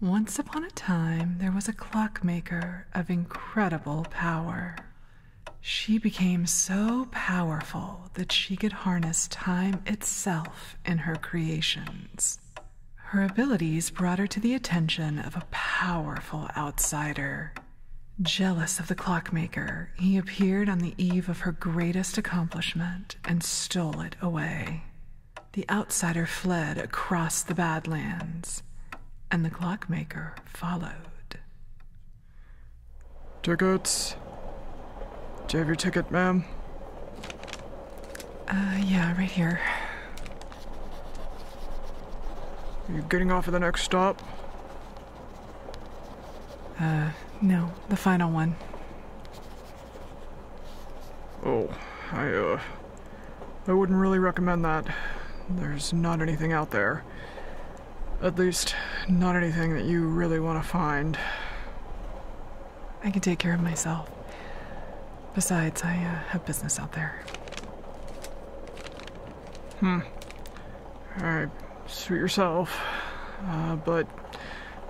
Once upon a time, there was a clockmaker of incredible power she became so powerful that she could harness time itself in her creations. Her abilities brought her to the attention of a powerful outsider. Jealous of the clockmaker, he appeared on the eve of her greatest accomplishment and stole it away. The outsider fled across the Badlands, and the clockmaker followed. Tickets? Do you have your ticket, ma'am? Uh, yeah, right here. you Are getting off at the next stop? Uh, no, the final one. Oh, I, uh, I wouldn't really recommend that. There's not anything out there. At least, not anything that you really want to find. I can take care of myself. Besides, I uh, have business out there. Hmm. Alright, suit yourself. Uh, but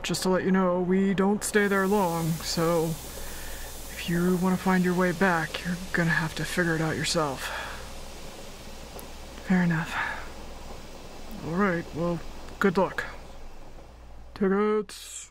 just to let you know, we don't stay there long, so if you want to find your way back, you're gonna have to figure it out yourself. Fair enough. Alright, well, good luck. Tickets!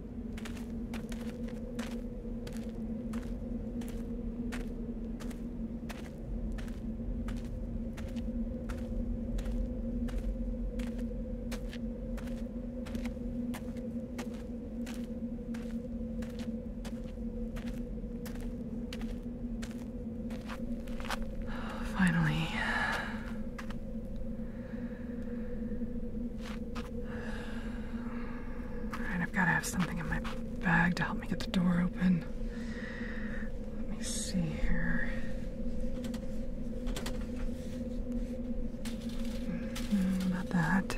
Finally. Alright, I've got to have something in my bag to help me get the door open. Let me see here. not mm-hmm, that.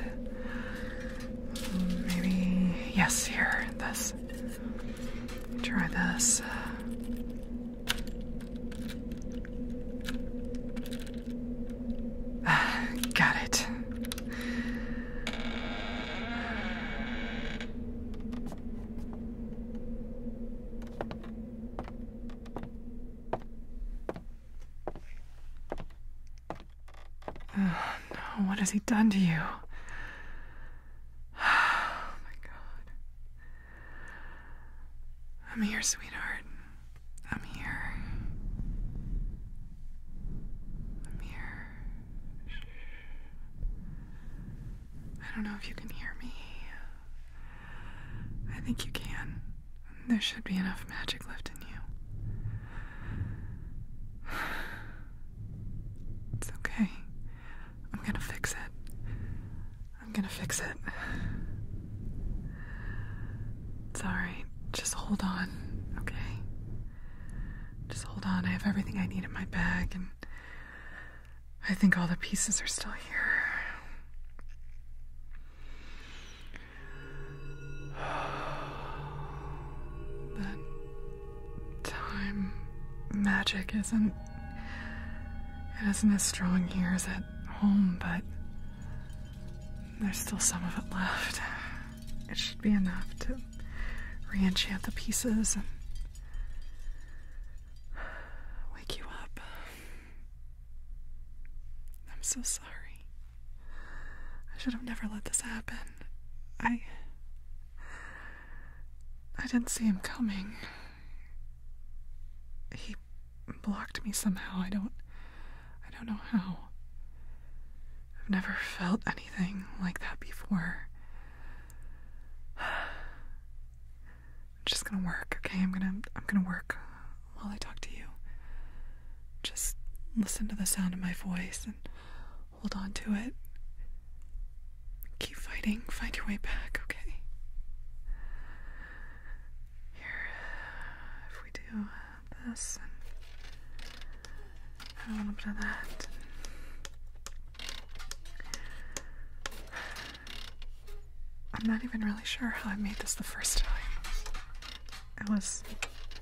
Mm, maybe, yes, here, this. Try this. Got it. Oh, no, what has he done to you? Oh my god. I'm here, sweetheart. I'm here. I'm here. I don't know if you can hear me. I think you can. There should be enough magic left in you. It's okay. I'm gonna fix it. I'm gonna fix it. It's alright just hold on, okay? Just hold on. I have everything I need in my bag, and I think all the pieces are still here. But time magic isn't it isn't as strong here as at home, but there's still some of it left it should be enough to re-enchant the pieces and wake you up. I'm so sorry. I should have never let this happen. I I didn't see him coming. He blocked me somehow. I don't I don't know how. I've never felt anything like that before. I'm just gonna work, okay? I'm gonna I'm gonna work while I talk to you. Just listen to the sound of my voice and hold on to it. Keep fighting, find your way back, okay? Here, if we do this and a little bit of that. I'm not even really sure how I made this the first time. It was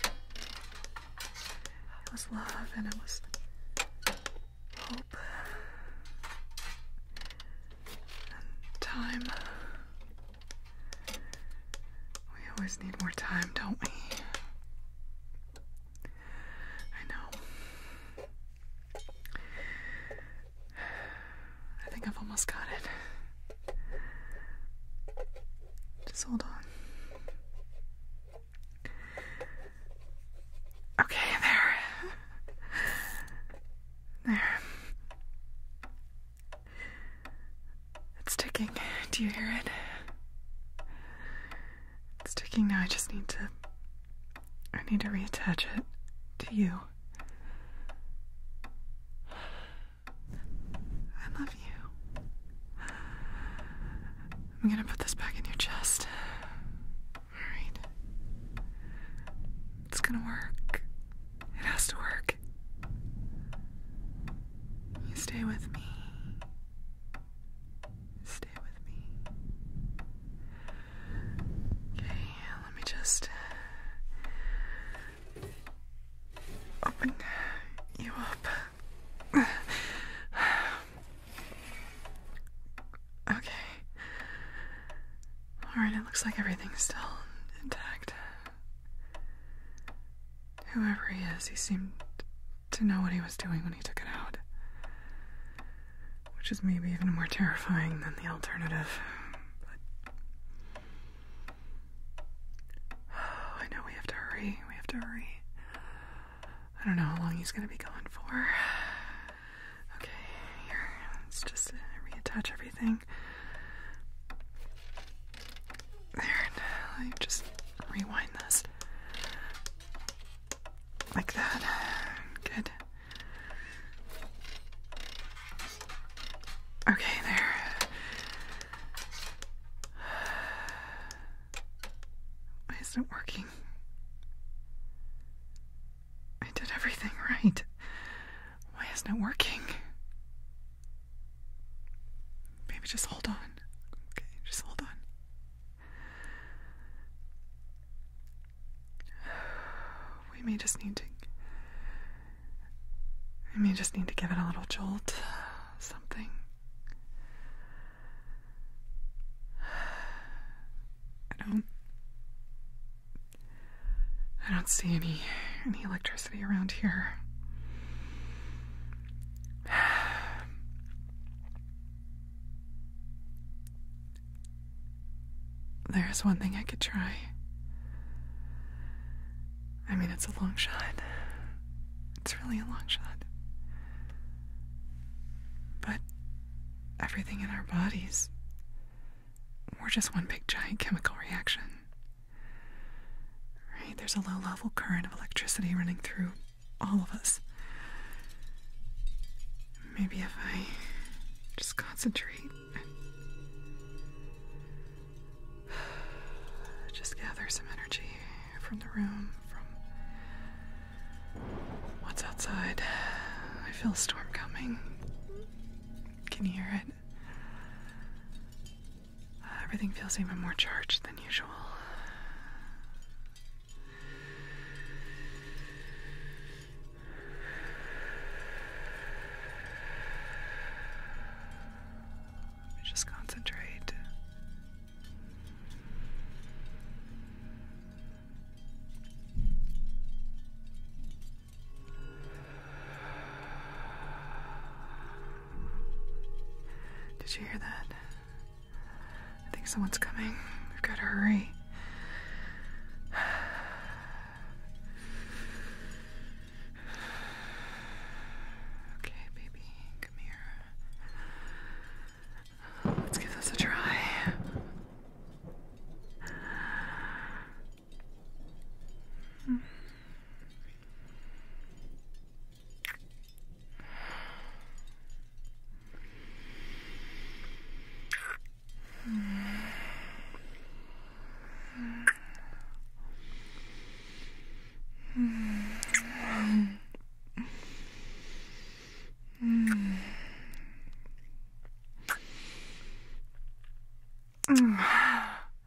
it was love and it was hope and time we always need more time, don't we? I know. I think I've almost got it. Just hold on. Okay, there. There. It's ticking. Do you hear it? It's ticking now. I just need to. I need to reattach it to you. I love you. I'm gonna put this back in your chest. Alright. It's gonna work. It has to work. You stay with me. Stay with me. Okay, let me just open you up. Okay. Alright, it looks like everything's still intact. Whoever he is, he seemed to know what he was doing when he took it out. Which is maybe even more terrifying than the alternative. But I know we have to hurry. We have to hurry. I don't know how long he's gonna be going for. Okay, here. Let's just reattach everything. There, I just rewind this. Like that. Good. Okay, there. Why isn't it working? I did everything right. Why isn't it working? Maybe just hold on. Okay, just hold on. We may just need to. We may just need to give it a little jolt. Something. I don't. I don't see any any electricity around here. There's one thing I could try. I mean, it's a long shot. It's really a long shot. But everything in our bodies, we're just one big giant chemical reaction. Right? There's a low level current of electricity running through all of us. Maybe if I just concentrate just gather some energy from the room, from what's outside. I feel a storm coming. Can you hear it? Uh, everything feels even more charged than usual. just concentrate. Did you hear that? I think someone's coming. We've got to hurry. Okay, baby, come here. Let's give this a try. Hmm.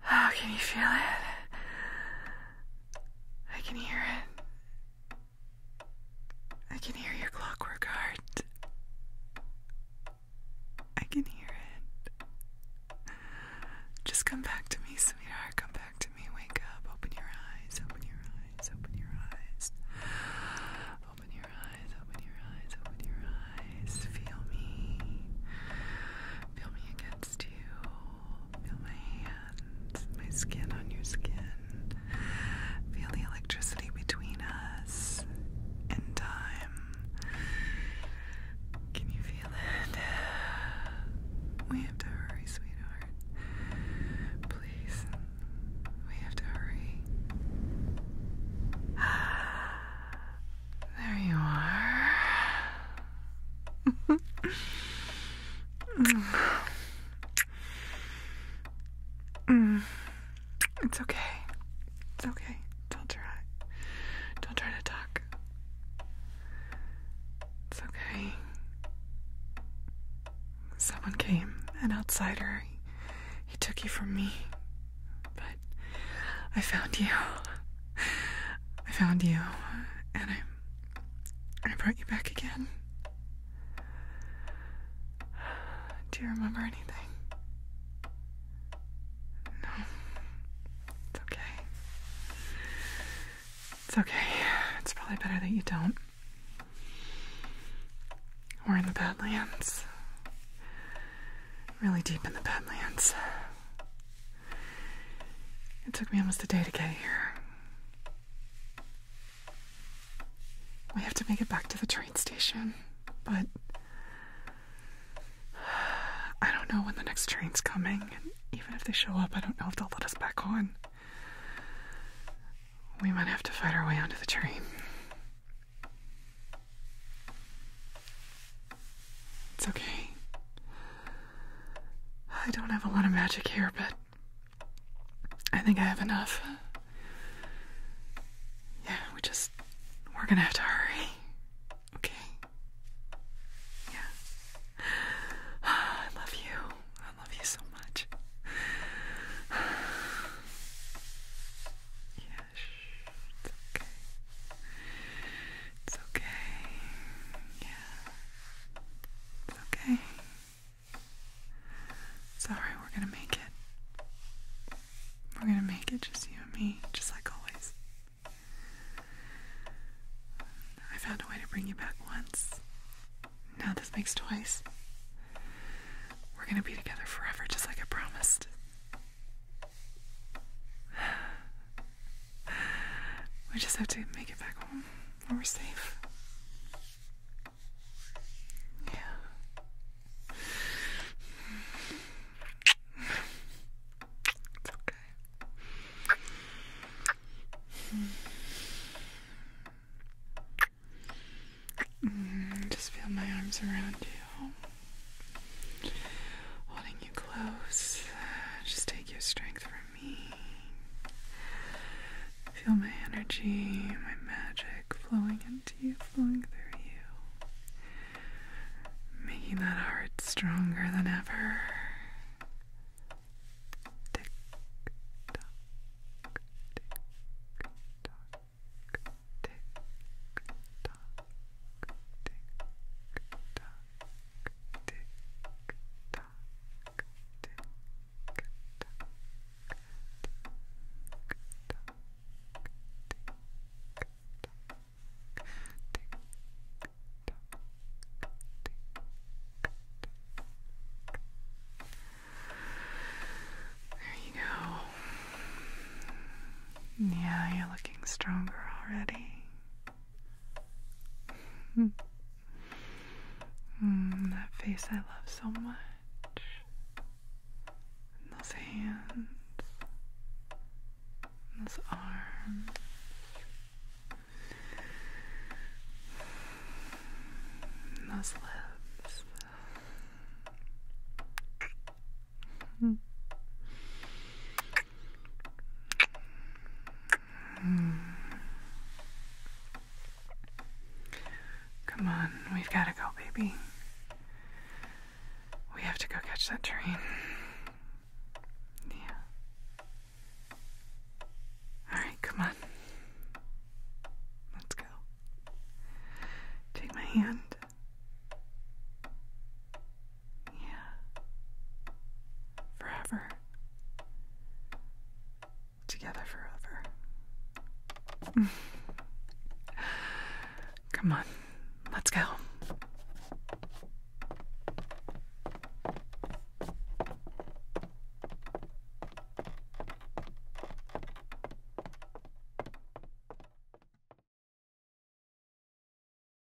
How can you feel it? I can hear it. I can hear your clockwork heart. I can hear it. Just come back to me, sweetheart. Come back to me. Wake up. Open your eyes. Open your eyes. Open your eyes. Open your eyes. Open your eyes. Open your eyes. Feel me. Feel me against you. Feel my hands, my skin on your skin. Feel the electricity between us in time. Can you feel it? We have to hurry, sweetheart. Please, we have to hurry. There you are. Mm. It's okay. It's okay. Don't try. Don't try to talk. It's okay. Someone came, an outsider. He, he took you from me. But I found you. I found you, and I'm I brought you back again. Do you remember anything? No. It's okay. It's okay. It's probably better that you don't. We're in the Badlands. Really deep in the Badlands. It took me almost a day to get here. We have to make it back to the train station, but I don't know when the next train's coming, and even if they show up, I don't know if they'll let us back on. We might have to fight our way onto the train. It's okay. I don't have a lot of magic here, but I think I have enough. Yeah, we just. We're gonna have to hurry. Okay? Yeah. I love you. I love you so much. Yeah, shh. It's okay. It's okay. Yeah. It's okay. It's we're gonna make it. We're gonna make it just you and me, just like always. I found a way to bring you back once. Now this makes twice. We're gonna be together forever, just like I promised. We just have to make it back home where we're safe. Yeah. It's okay. Mm, just feel my arms around you, holding you close. Just take your strength from Feel my energy, my magic flowing into you, flowing through you. Making that heart stronger than ever. Tick tock, tick tock, tick tock, tick tock there you go. Yeah, you're looking stronger already. Mm, that face I love so much. those hands. those arms. those lips. Mm. Hmm. Come on, we've got to go, baby. We have to go catch that train. Yeah. Alright, come on. Let's go. Take my hand. Yeah. Forever. Together forever. Come on, let's go.